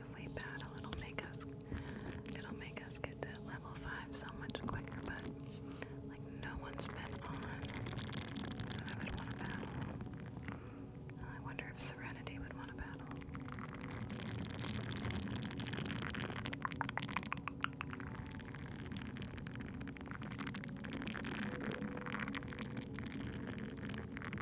if we pat, it'll make us get to level five so much quicker, but like no one's been on I would want to battle. I wonder if Serenity would want to battle.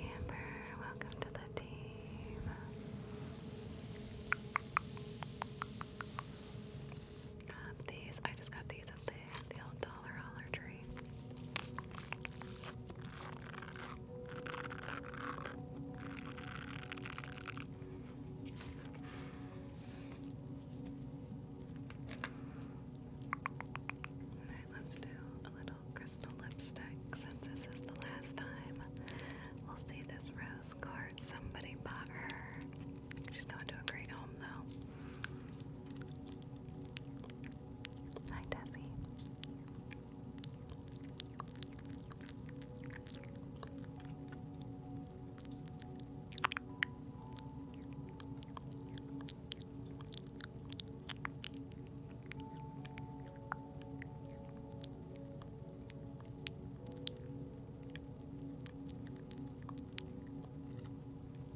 Amber, welcome to the team. Um, these, I just got these at the, the old dollar Holler Tree. let's do a little crystal lipstick since this is the last time we'll see this rose card. Somebody bought her just going to a great home, though. Hi, Tessie.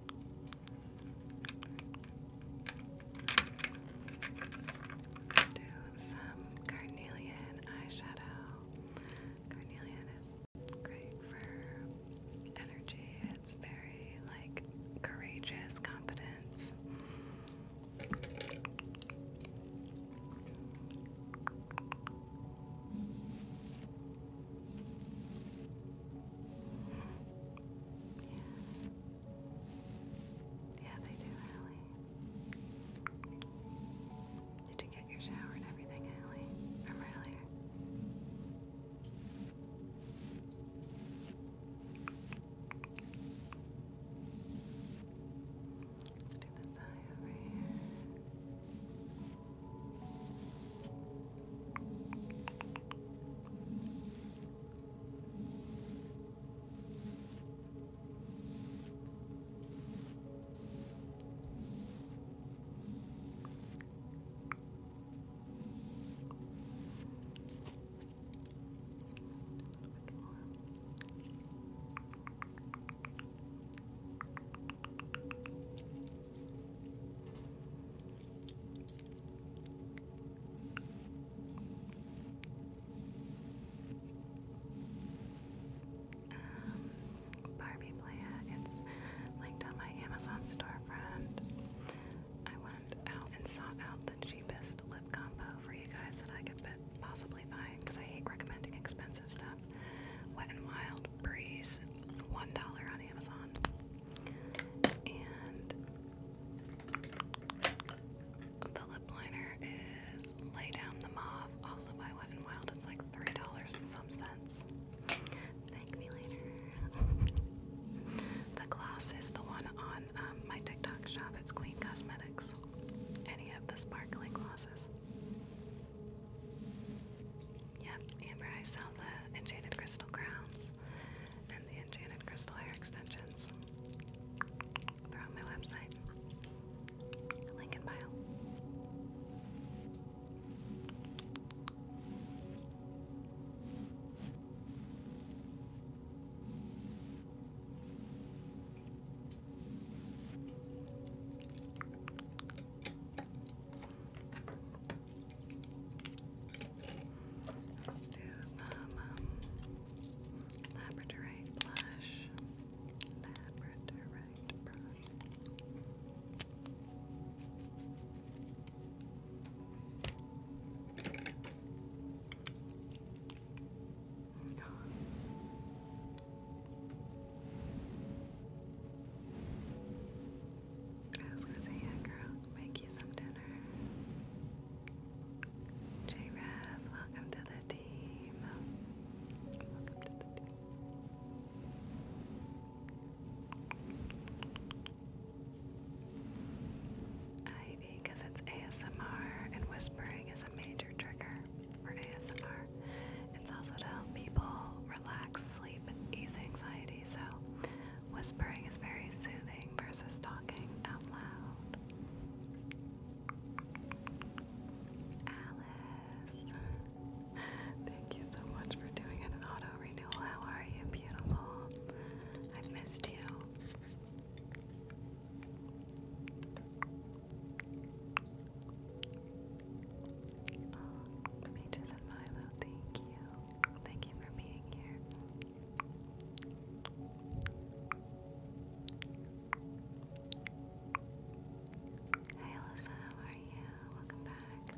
Do some carnelian eyeshadow. Carnelian is great for energy. It's very like courageous confidence. Yeah. they do, Allie. Did you get your shower and everything, Allie, from earlier? Let's do the thigh over here. Just a bit more. Um, Barbie Playa, it's linked on my Amazon storefront. I went out and sought out the cheapest lip combo for you guys that I could possibly find because I hate recommending expensive stuff. Wet n Wild Breeze, $1 on Amazon. And the lip liner is Lay Down the Mauve, also by Wet n Wild. It's like $3 and some cents. Thank me later. the gloss is the one on um, my TikTok shop. It's Queen Cosmetics. Any of the sparkling glosses. Yep, Amber, I sell the enchanted crystal crowns and the enchanted crystal hair extensions. they my website. Link in Let's do some um, labradorite blush. Labradorite brush. No. I was gonna say, yeah, girl, make you some dinner. J Raz, welcome to the team. Welcome to the team. Ivy, because it's ASMR and whispering is a major trigger for ASMR. It's also to help people relax, sleep, ease anxiety. So Whispering is very soothing versus talking out loud. Alice, thank you so much for doing an auto renewal. How are you, beautiful? i missed you. Oh, and Milo, thank you. Thank you for being here. Hey Alyssa, how are you? Welcome back.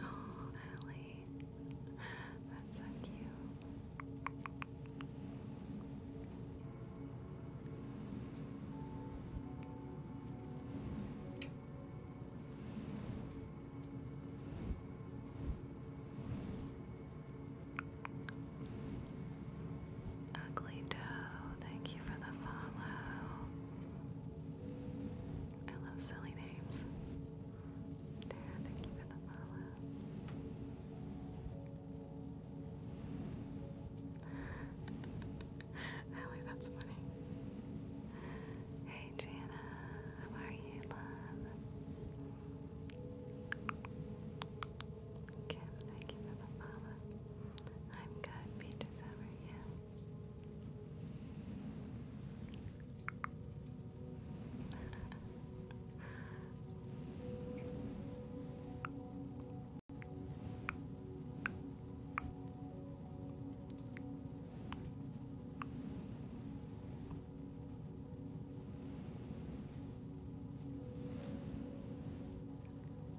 Oh, Ellie. That's so cute. Ugly Doe, thank you for the follow. I love silly names. Tara, thank you for the follow. Allie, that's funny. Hey Jana, how are you, love? Kim, thank you for the I'm good, Peaches, how are you?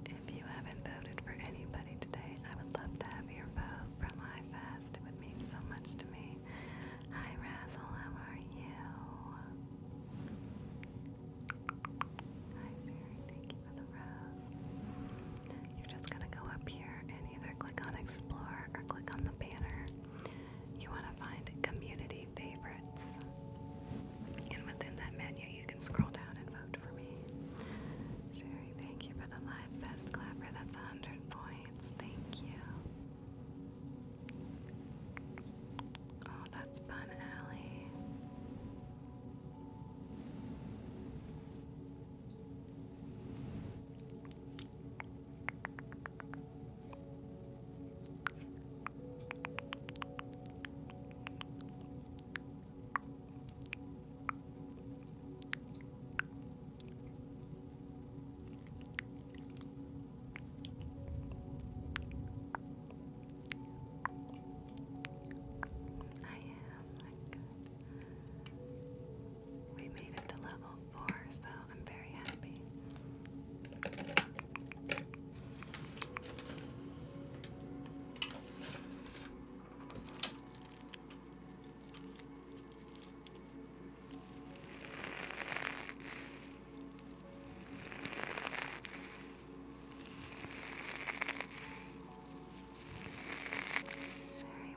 If you haven't voted for anybody today, I would love to have your vote from iFast. It would mean so much to me. Hi, Razzle, how are you? Hi, Fairy, thank you for the rose. You're just gonna go up here and either click on Explore or click on the banner. You wanna find Community Favorites. And within that menu, you can scroll down and vote for me. Sherry, thank you for the live best clapper. That's 100 points. Thank you. Oh, that's fun, Allie. I am, We made it to level four, so I'm very happy. Sherry,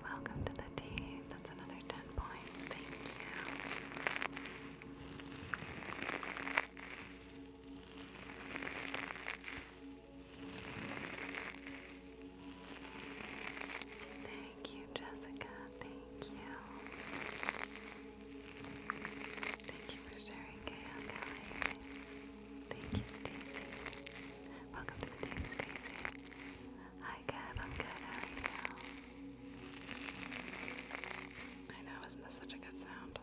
welcome to the team. That's another 10 points. Thank you. Thank you, Jessica. Thank you. Thank you for sharing, Gail Kelly. Thank you, Stacy. Welcome to the team, Stacy. Hi, Kev. I'm good. How are you? I know, isn't this such a good sound?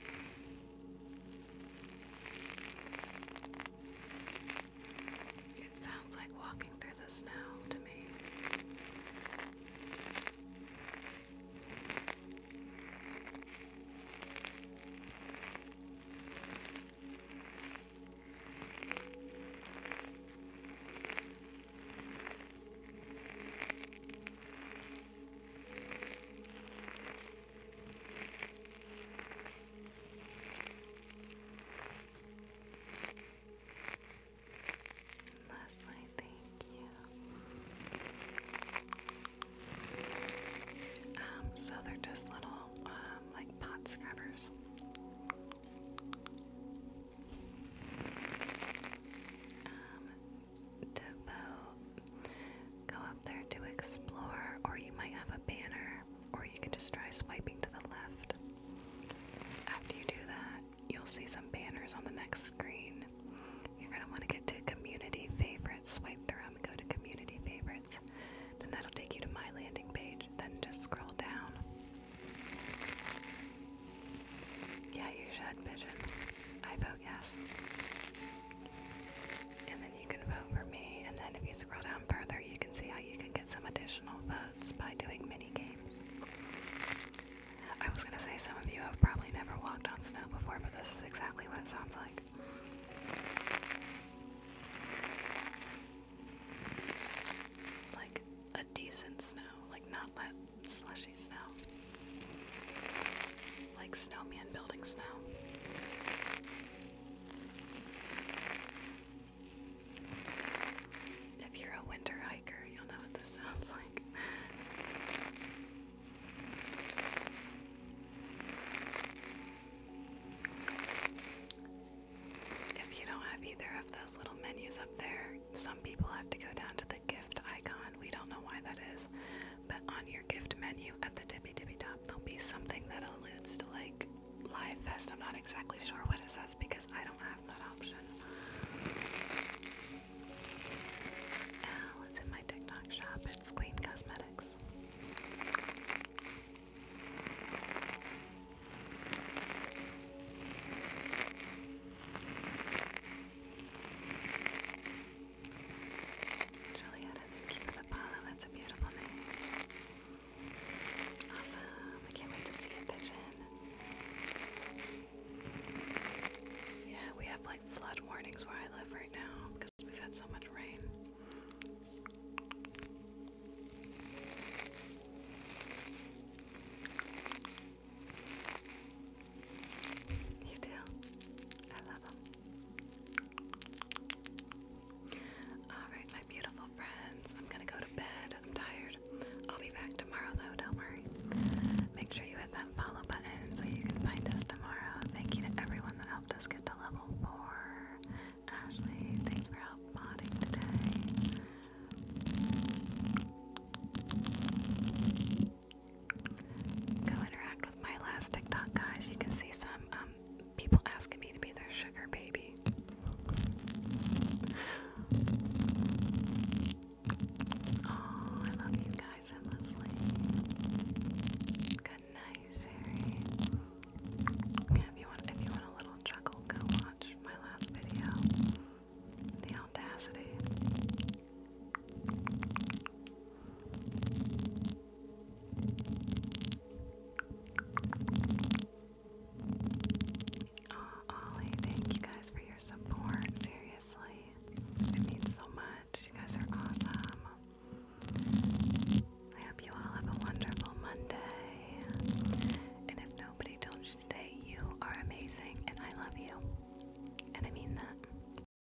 It sounds like walking through the snow to me. Leslie, thank you. Um, so they're just little, um, like pot scrubbers. Um, depot. Go up there to explore, or you might have a banner, or you can just try swiping to the left. After you do that, you'll see some banners on the next screen. You're going to want to get to community favorites, swipe through them, go to community favorites. Then that'll take you to my landing page. Then just scroll down. Yeah, you should, Pigeon. I vote yes. And then you can vote for me. And then if you scroll down further, you can see how you can get some additional votes by doing mini games. I was going to say some of you have probably never walked on snow before, but this is exactly what it sounds like. Like a decent snow, like not that slushy like snowman building snow. If you're a winter hiker, you'll know what this sounds like. If you don't have either of those little menus up there, some people have to go down to the gift icon. We don't know why that is but on your gift menu at the tippy tippy top, there'll be something that alludes to like Live Fest. I'm not exactly sure what it says because I don't have that option. Now oh, in my TikTok shop. It's Queen Cosmetics. Julietta, thank you the follow. That's a beautiful name. Awesome. I can't wait to see a pigeon. Yeah, we have like flood warnings where I live right now because we've had so much rain. You do? I love them. Alright, my beautiful friends. I'm gonna go to bed. I'm tired. I'll be back tomorrow though, don't worry. Make sure you hit that follow button so you can find us tomorrow. Thank you to everyone that helped us get to level four. Ashley, thanks for help modding today. Go interact with my last TikTok, guys. You can see some um, people asking me to be their sugar baby. Oh, I love you guys endlessly. Good night, Sherry. if you want, if you want a little chuckle, go watch my last video. The audacity. Oh, Ollie, thank you guys for your support. Seriously, it means so much. You guys are awesome. I hope you all have a wonderful Monday. And if nobody told you you are amazing and I love you. And I mean that.